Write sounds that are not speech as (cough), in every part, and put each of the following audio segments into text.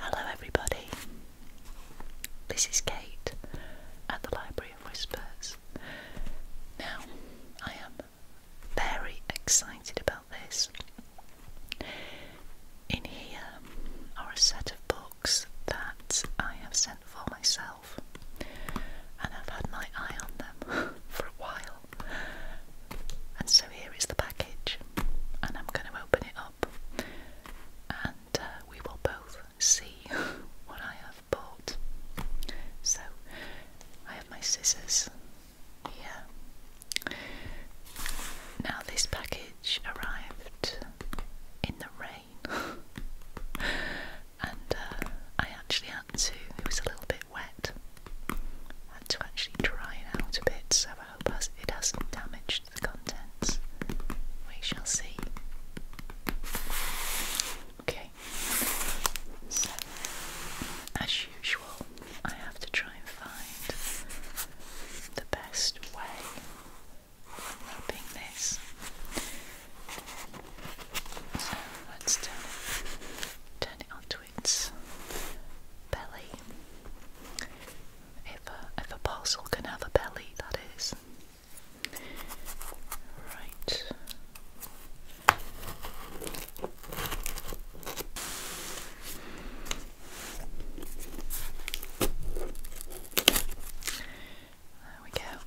Hello, everybody. This is Kate at the Library of Whispers. Now, I am very excited about this. In here are a set of books that I have sent for myself, and I've had my eye on them (laughs) for a while. And so here is the package, and I'm going to open it up, and uh, we will both see (laughs) what I have bought. So I have my scissors here. Now this package arrived in the rain, (laughs) and uh, I actually had to. It was a little bit wet, had to actually dry it out a bit, so I hope it hasn't damaged the contents. We shall see. Okay, so as usual, I have to try and find the best way of wrapping this. So let's turn it, turn it its belly. If a, parcel can have belly, that is. Right. There we go.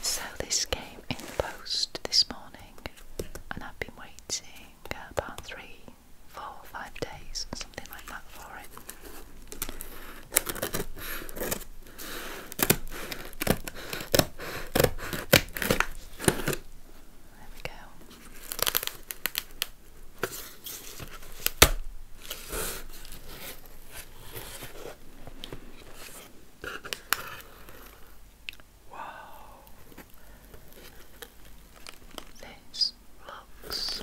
So, this came in the post this morning, and I've been waiting uh, about three, four, five days, something like that, for it. There we go. Wow, this looks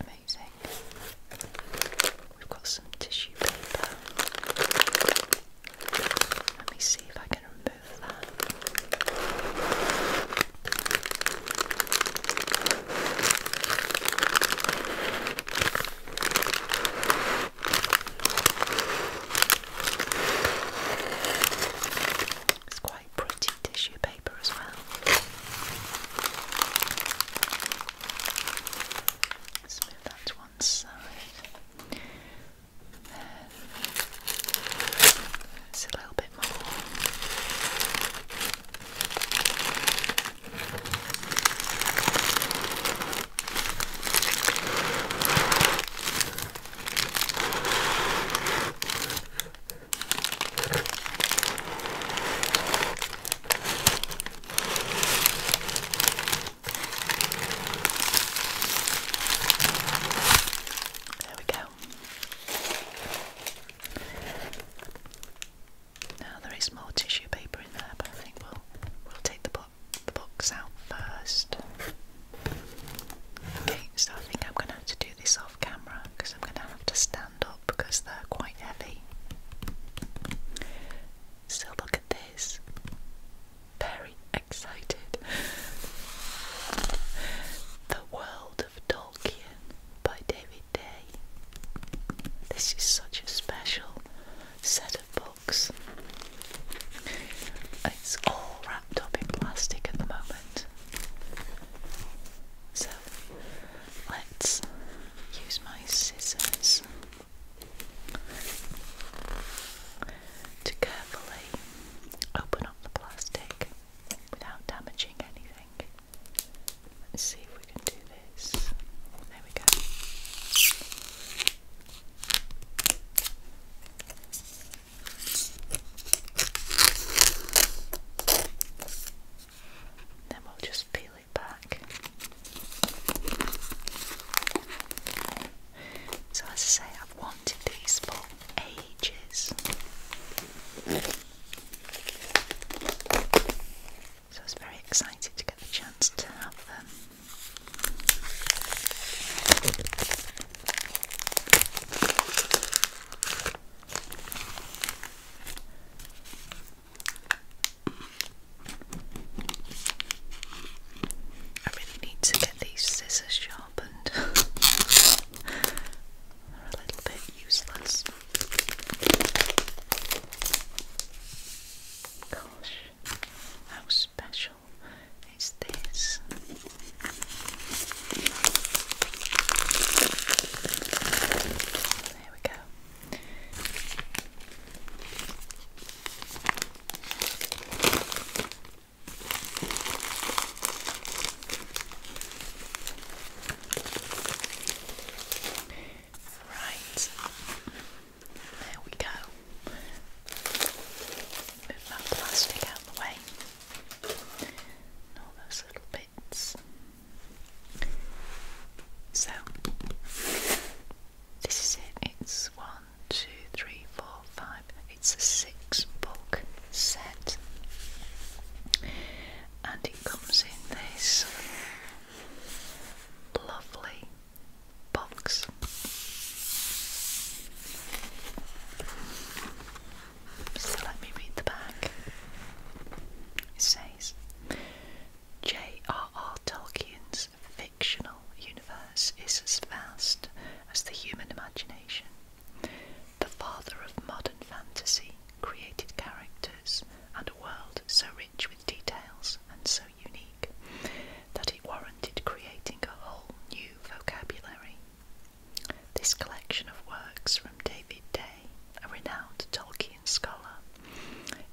amazing. We've got some tissue paper. Let me see if I can remove It's quite pretty tissue paper as well. let that to one side. It's a little bit more. There we go now there is more tissue paper in there, but I think we'll we'll take the, the box out first. Okay, so I think I'm going to have to do this off camera because I'm going to have to stand up because they're quite heavy. So look at this. Very excited. (laughs) The world of by David Day. This is such a special set of books. It's all wrapped up in plastic at the moment. So let's use my scissors to carefully open up the plastic without damaging anything. Let's see if we can do this. There we go. Then we'll just peel it back. So, as I say, I've wanted these for ages. So I was very excited to get the chance to have them. I really need to get these scissors sharp. (laughs) a little bit useless. Gosh, how special is this? There we go. Right, there we go. Move that plastic out of the way. all those little bits. So, this is it. It's one, two, three, four, it's a six book set, and it comes in this lovely box. So let me read the back. It says J.R.R. Tolkien's fictional universe is as vast as the human imagination the father of modern fantasy, created characters, and a world so rich with details and so unique that it warranted creating a whole new vocabulary. This collection of works from David Day, a renowned Tolkien scholar,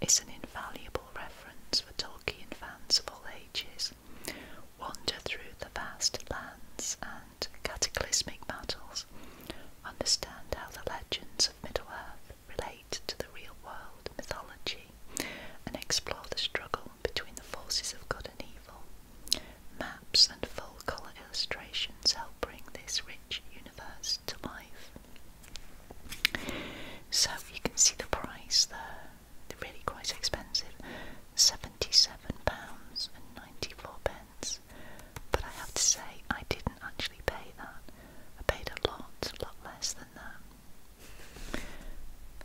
is an invaluable reference for Tolkien fans of all ages wander through the vast lands and cataclysmic battles, understand how the legends of Middle-earth relate to the real world mythology, and explore the struggle between the forces of good and evil. Maps and full-colour illustrations help bring this rich universe to life. So you can see the price there, really quite expensive. £77.94. and But I have to say, I didn't actually pay that. I paid a lot, a lot less than that.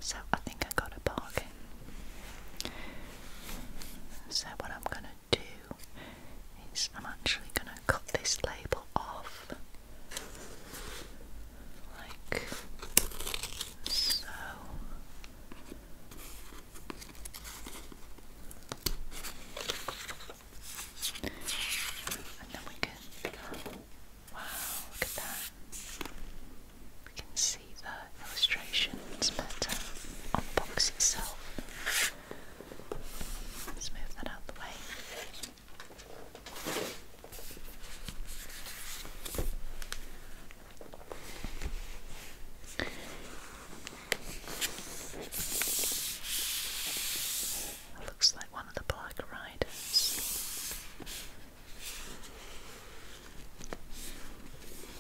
So I think I got a bargain. So what I'm going to do is I'm actually going to cut this label off like so and then we can, wow, look at that. We can see the illustrations better uh, on box itself. Let's move that out the way looks like one of the black riders.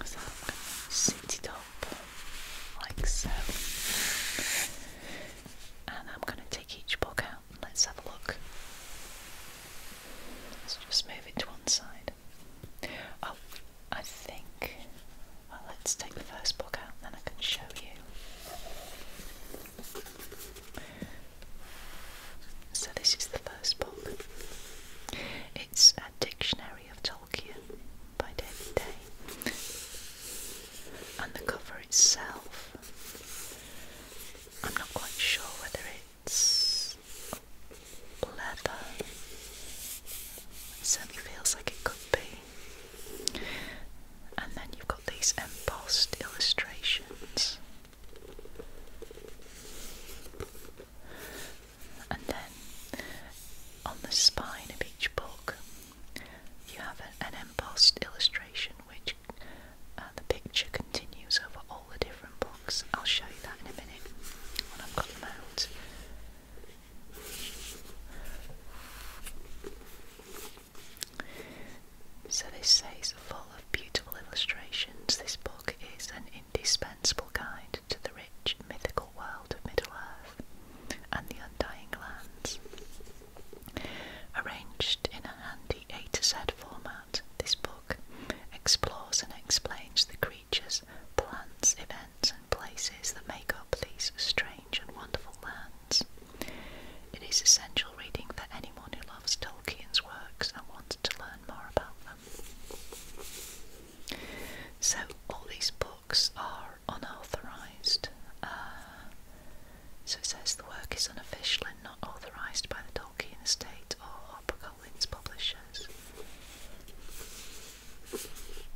So I'm going to sit it up like so. And I'm going to take each book out let's have a look. let just move it to one side. Oh, I think. let's take the first book out then I can show you. So, this is the first book. It's A Dictionary of Tolkien by David Day. And the cover itself, I'm not quite sure whether it it's leather. It certainly feels like it could be. And then you've got these embossed illustrations. And then on the spine of each book, you have an, embossed illustration which uh, the picture continues over all the different books. I'll show you that in a minute when I've got them out. So this says full of beautiful illustrations. This book is an indispensable guide to the rich mythical world of Middle Earth and the Undying Lands. Arranged in a handy A to format, this book explores and explains the creatures, plants, events, and places that make up these strange and wonderful lands. It is essential reading for anyone who loves Tolkien's works and wants to learn more about them. So, all these books are unauthorised. Uh, so it says the work is unofficial and not authorised by the Tolkien estate or Opera Publishers.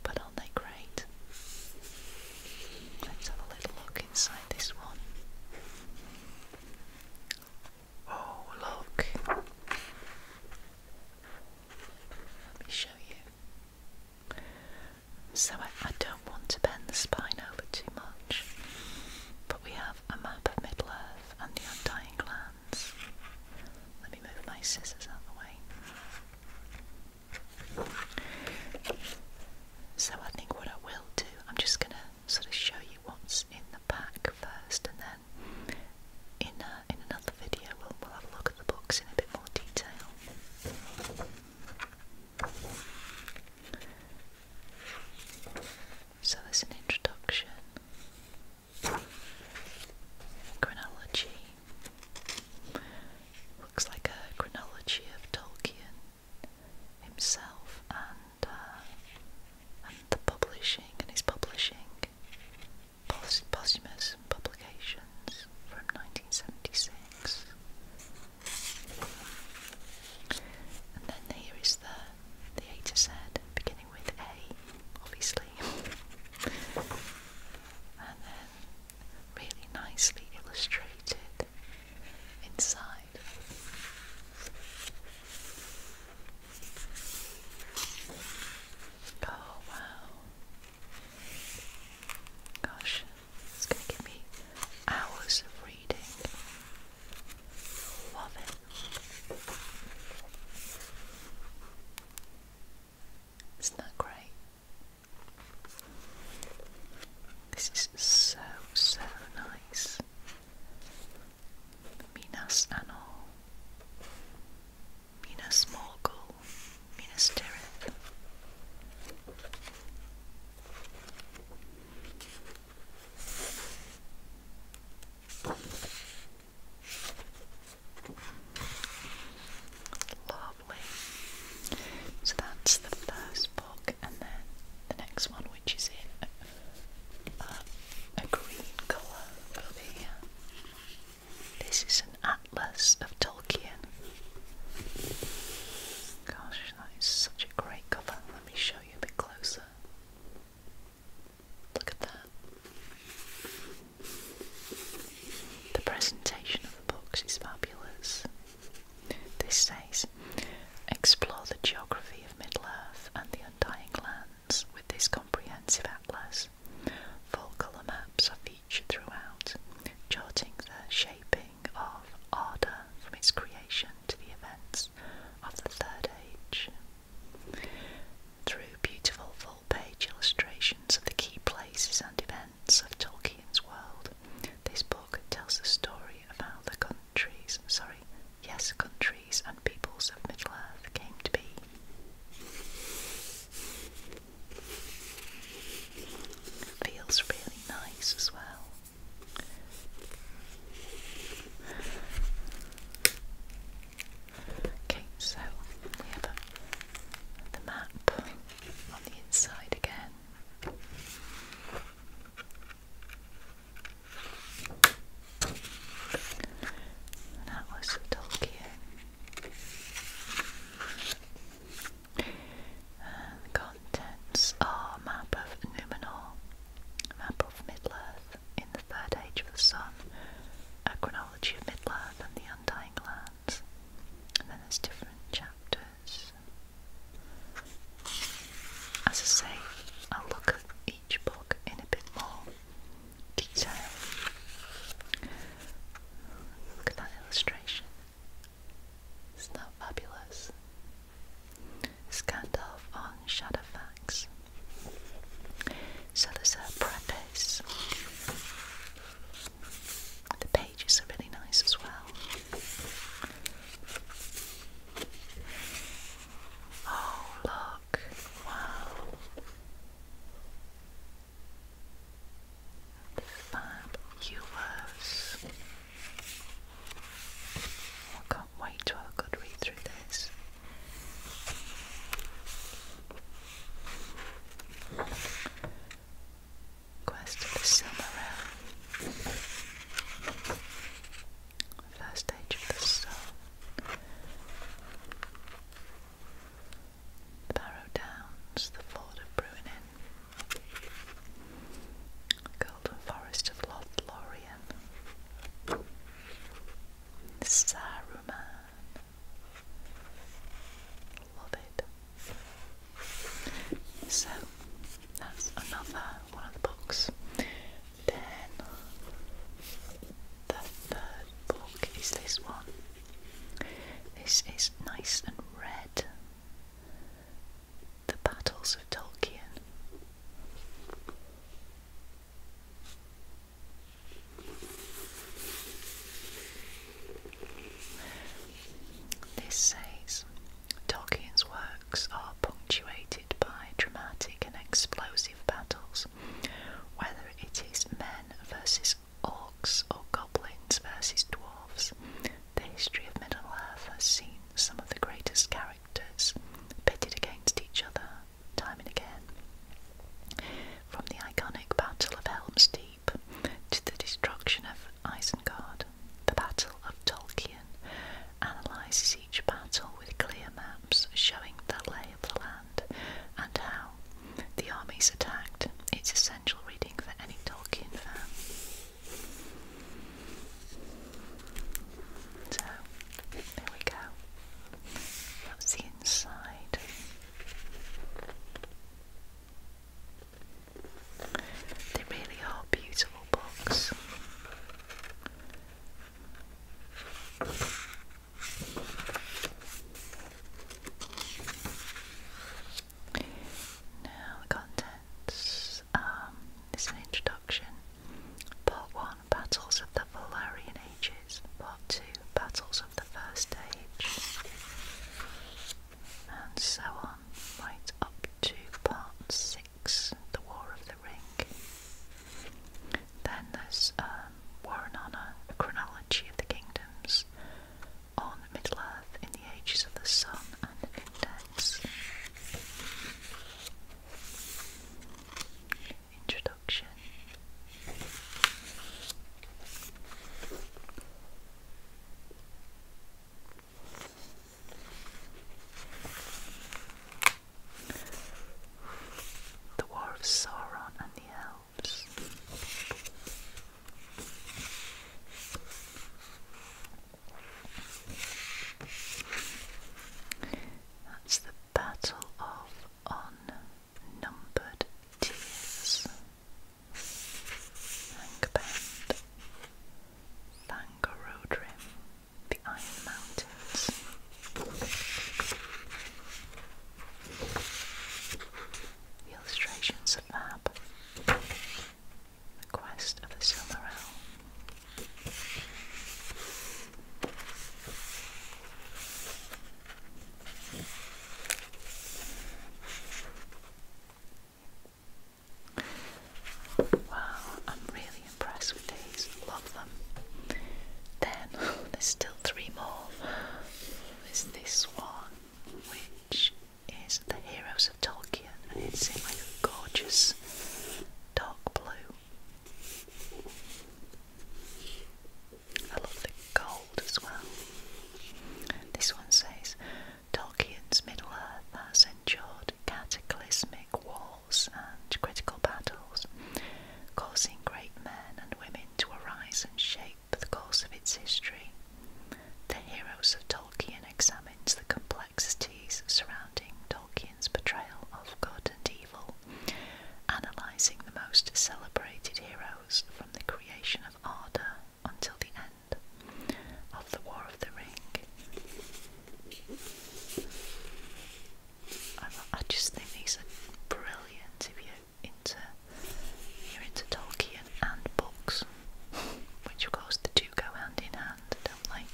But aren't they great? Let's have a little look inside this one. Oh, look! Let me show you. So, I, I don't want to bend the spine over too much, but we have a map of Middle Earth and the Undying Land. Let me move my scissors out of the way. So I think what I will do, I'm just going to sort of show you what's in the pack first, and then in uh, in another video we'll, we'll have a look at the books in a bit more detail. So there's an introduction. Chronology looks like a chronology of Tolkien himself and uh, and the publishing and his publishing posthumous publications from 1976. And then here is the the A to Z beginning with A, obviously, (laughs) and then really nicely illustrated inside. Oh wow. Gosh, it's going to give me hours of reading. Love it. Isn't that great? This is so, so nice. Minas Anor, Minas Morgul, Minas Tirith. Lovely. So that's the first book, and then the next one, which is in a, green colour over here. This is an atlas of Tolkien. Gosh, that is such a great cover. Let me show you a bit closer. Look at that. The presentation of the books is fabulous. This says, explore the geography of Middle-earth and the Undying Lands with this comprehensive atlas. Full colour maps are featured throughout, charting the shaping of Arda from its creation to the events of the Third Age. Through beautiful full page illustrations of the key places and events of Tolkien's world, this book tells the story of how the countries, sorry, yes, countries and peoples of Middle Earth came to be. Feels really nice as well. Okay, so we have a, the map on the inside again. That was Tolkien. contents are map of Numenor, Map of middle in the Third Age of the Sun, A of middle and the Undying Lands. And then there's different chapters. As I say, I'll look at each book in a bit more detail. Look at that illustration. Isn't that fabulous? Scandalf on Shadowfax. So there's a preface. The pages are really nice as well. Oh, look! Wow! Fabulous. Oh, God can't wait to have a good read through this. Quest of the Silmaril. First Age of the Sun. The Barrow Downs, the Ford of Bruinen. Golden Forest of Lothlorien. Saruman. Love it. So that's another one of the books. Then the third book is this one. This is nice and red. The Battles of Tolkien this says Tolkien's works are punctuated by dramatic and explosive battles, whether it is men versus orcs or goblins versus dwarves. The history of Middle Earth has seen some of the greatest characters pitted against each other time and again. From the iconic Battle of Helm's Deep to the destruction of Isengard, the Battle of Tolkien analyses each battle with clear maps showing the lay of the land and how the armies attacked. It's essential reading for any Tolkien fan. So there we go. That's the inside. They really are beautiful books. Now the contents. Um, this is an introduction. Part 1 Battles of the Valerian Ages, Part 2, Battles of the First Age, and so on, right up to Part 6, The War of the Ring. Then there's um, War and Honour, A Chronology of the Kingdoms, on Middle Earth in the Ages of the Sun and Index. Introduction The War of Saron and the Elves that's the Battle of Unnumbered Tears. Angband, Thangorodrim, the Iron Mountains. The illustrations are fab. The Quest of the Silmaril. Wow, I'm really impressed with these. Love them. Then (laughs) there's still three more. Is this one, which is the Heroes of Tolkien, and it's in like a gorgeous dark blue I love the gold as well. This one says Tolkien's Middle Earth has endured cataclysmic wars and critical battles, causing great men and women to arise and shape the course of its history. The Heroes of Tolkien examines the complexities surrounding Tolkien. Tolkien's portrayal of good and evil, analysing the most celebrated heroes from the creation of Arda until the end of the War of the Ring. I, just think these are brilliant if you're into, you're into Tolkien and books, which of course the two go hand in hand, don't they?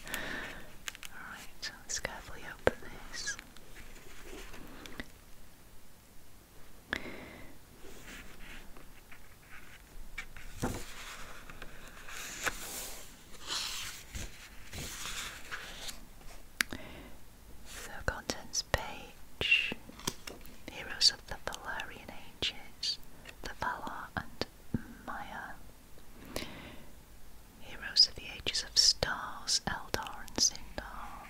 Alright, let's carefully open this. contents page Heroes of the Valerian Ages, the Valar and Maya. Heroes of the ages of stars, Eldar and Sindar.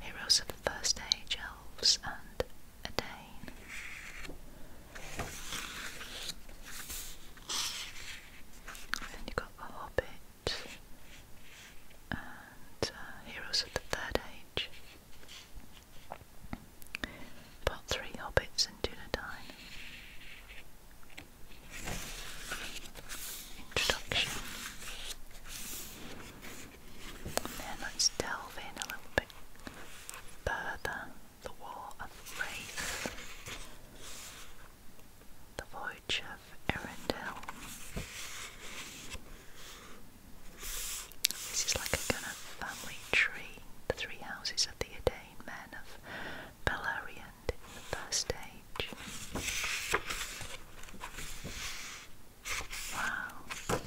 Heroes of the First Age, Elves and Adane. Then you've got The Hobbit and uh, Heroes of the Third Age. Part 3 Hobbits and Dunedain introduction. then let's delve in a little bit further. The War of Wraith, The Voyage of Erendil. This is like a kind of family tree. The three houses of the Adair men of Beleriand in the First Age. Wow,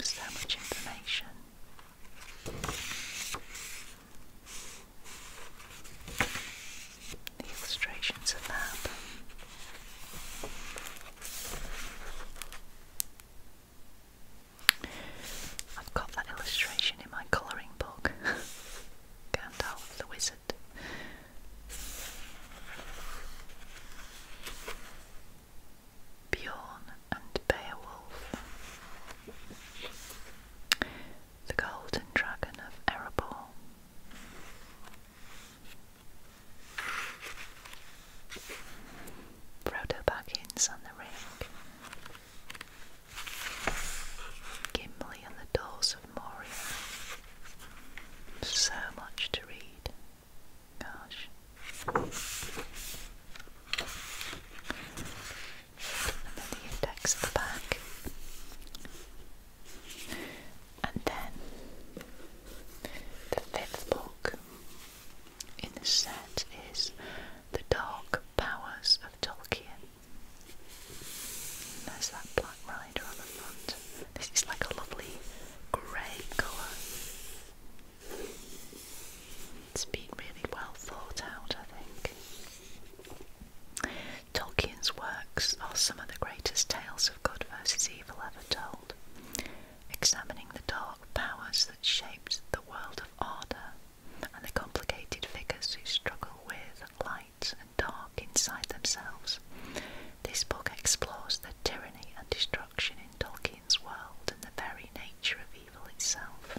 so much information. The illustrations are fab. I've got that illustration in my colouring book (laughs) Gandalf the Wizard. Bjorn and Beowulf. The Golden Dragon of Erebor. Frodo Baggins and the Ring. Gimli and the Doors of Moria. So much to read. Gosh. And then the index at the back. And then the fifth book in the set is The Dark Powers Tolkien. There's that black rider on the front. This is like a lovely grey colour. It's been really well thought out, I think. Tolkien's works are some of the greatest tales of good versus evil ever told, examining the dark powers that shaped the world of Arda and the complicated figures who struggle with light and dark inside themselves. This book explores the tyranny and destruction in Tolkien's world and the very nature of evil itself.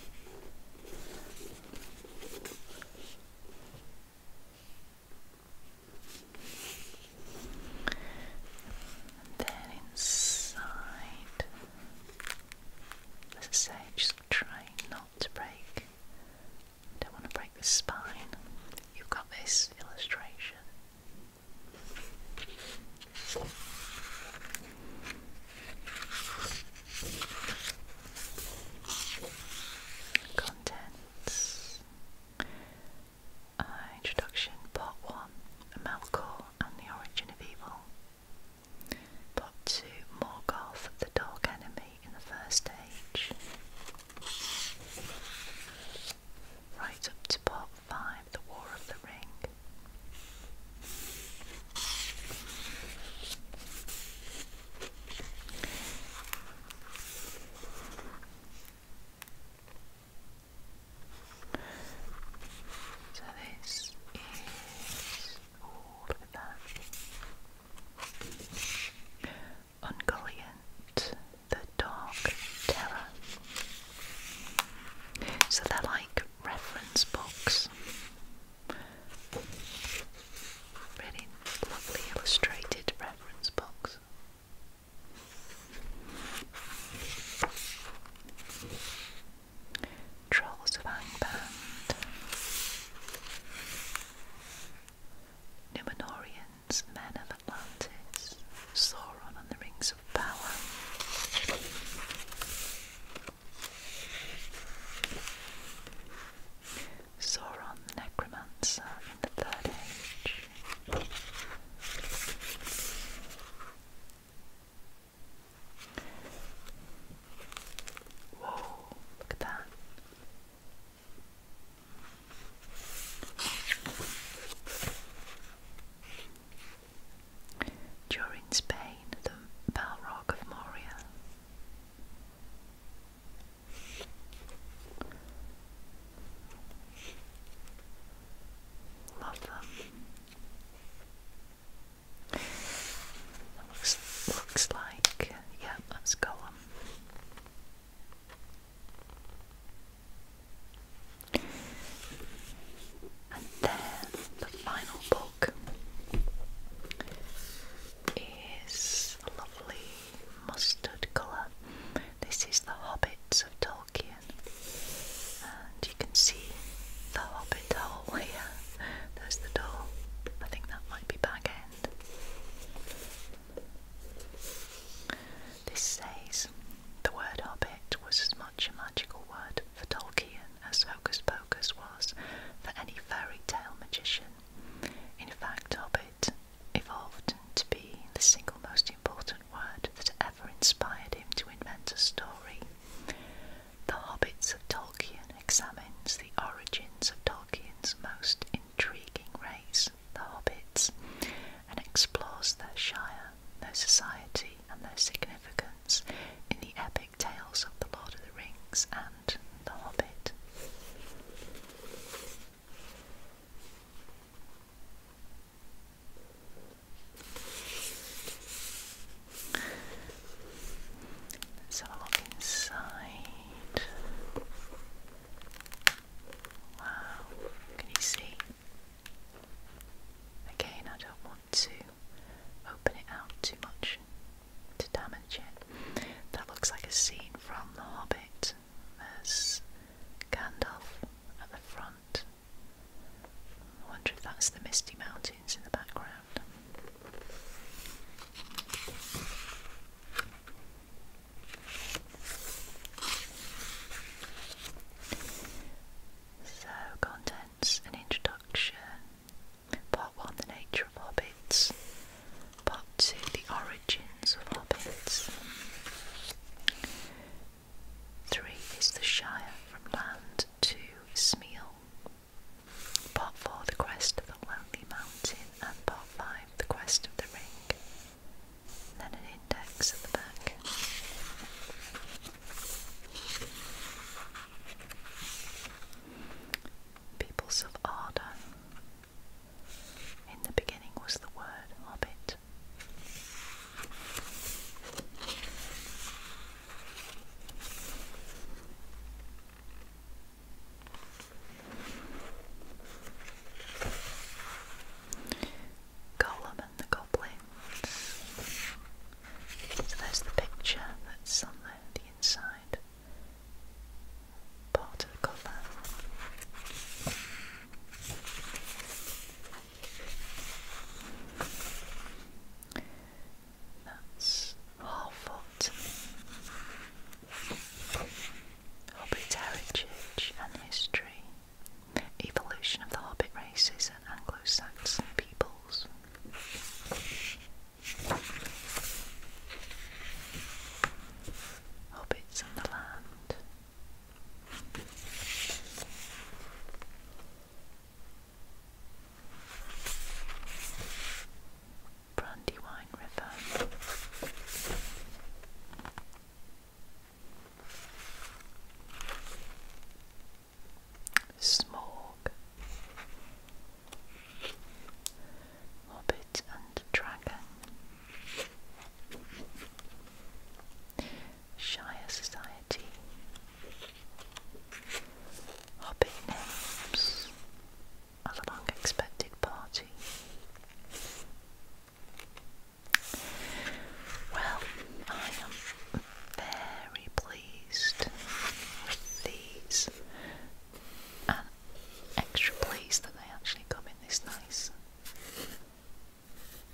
And then inside, as I trying not to break. Don't want to break the spine. You've got this illustration. Contents. introduction Part 1 Malcor and the Origin of Evil. Plot 2 Morgoth, the Dark Enemy in the First Age. Right up to Part 5 The War of the Ring. So this is Ooh, the Dark Terror. So they're like reference books. Really lovely illustrated reference books. Trolls of Angband, Numenorians, Men of Atlantis, Sauron and the Rings of Power. Sauron Necromancer in the Third Age. Whoa, look at During Spain, the Balrog of Moria. Love them. Looks, like, yeah, that's Gollum. And then the final book is a lovely mustard colour. This is The Hobbits of Tolkien, you can see the Hobbit hole (laughs) here. There's the door. I think that might be back end. This says the word Hobbit was as much a magical word for Tolkien as Hocus Pocus was for any fairy tale magician. In fact, Hobbit evolved to be the single most important word that ever inspired him to invent a story. The Hobbits of Tolkien examines the origins of Tolkien's most intriguing race, the Hobbits, and explores their shire, their society, and their significance in the epic tales of The Lord of the Rings and The Hobbit. Let's have a look inside. Wow, can you see? Again, I don't want to open it out too much to damage it. That looks like a scene from The Hobbit. There's Gandalf at the front I wonder if that's the misty mountains in the background. So, contents an introduction. Part 1 The nature of hobbits. Part 2 The origins of hobbits. 3 is the Shire from land to Smeal. Part 4 The Quest of the Lonely Mountain, and Part 5 The Quest of the Ring. then an index at the back. Peoples of Arda. In the beginning was the word Hobbit. Gollum and the Goblins. So there's the picture that's on the, inside part of the cover. That's Harfoot. Hobbit heritage and history. Evolution of the Hobbit races and Anglo-Saxon peoples. Hobbits and the land. Brandywine River. Smorg, Hobbit and Dragon, Shire Society, Hobbit names a long expected party. Well, I am very pleased with these and extra pleased that they actually come in this nice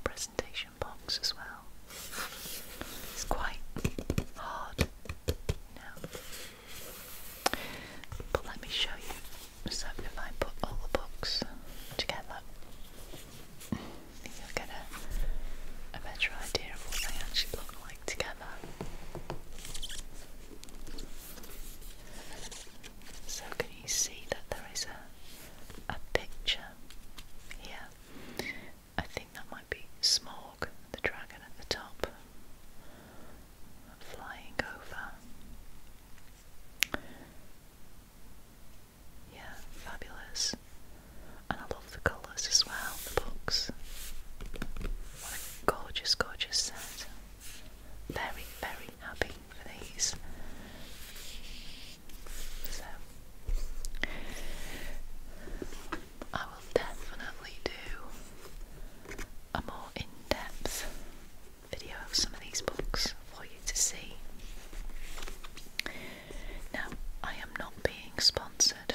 presentation box as well. It's quite hard now. But let me show you. So if I put all the books together, you'll get a better idea of what they actually look like together. So can you see that there is a a picture here I think that might be Smog, the dragon at the top, flying over. Yeah, fabulous. And I love the colours as well, the books. What a gorgeous, gorgeous set. Very, very happy for these. So I will definitely do a more in-depth video of some of these books for you to see. Now, I am not being sponsored (laughs)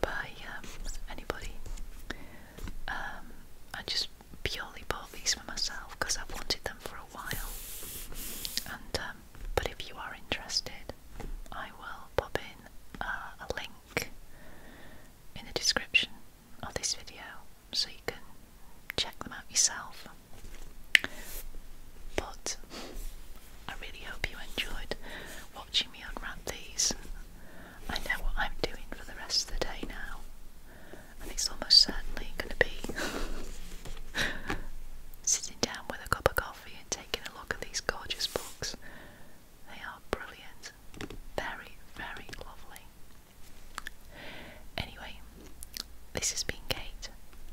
by um, anybody. Um, I just purely bought these for myself because i wanted them for a while. Um, but if you are interested, I will pop in uh, a link in the description of this video so you can check them out yourself. But I really hope you enjoyed watching me unwrap these. I know what I'm doing for the rest of the day now and it's almost certainly going to be (laughs) sitting down with a cup of coffee and taking a look at these gorgeous books. They are brilliant, very, very lovely. Anyway, this has been Kate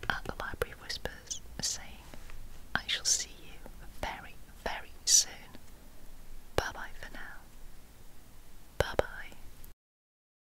at the Library Whispers saying, I shall see you very, very soon. Bye bye for now. Bye bye.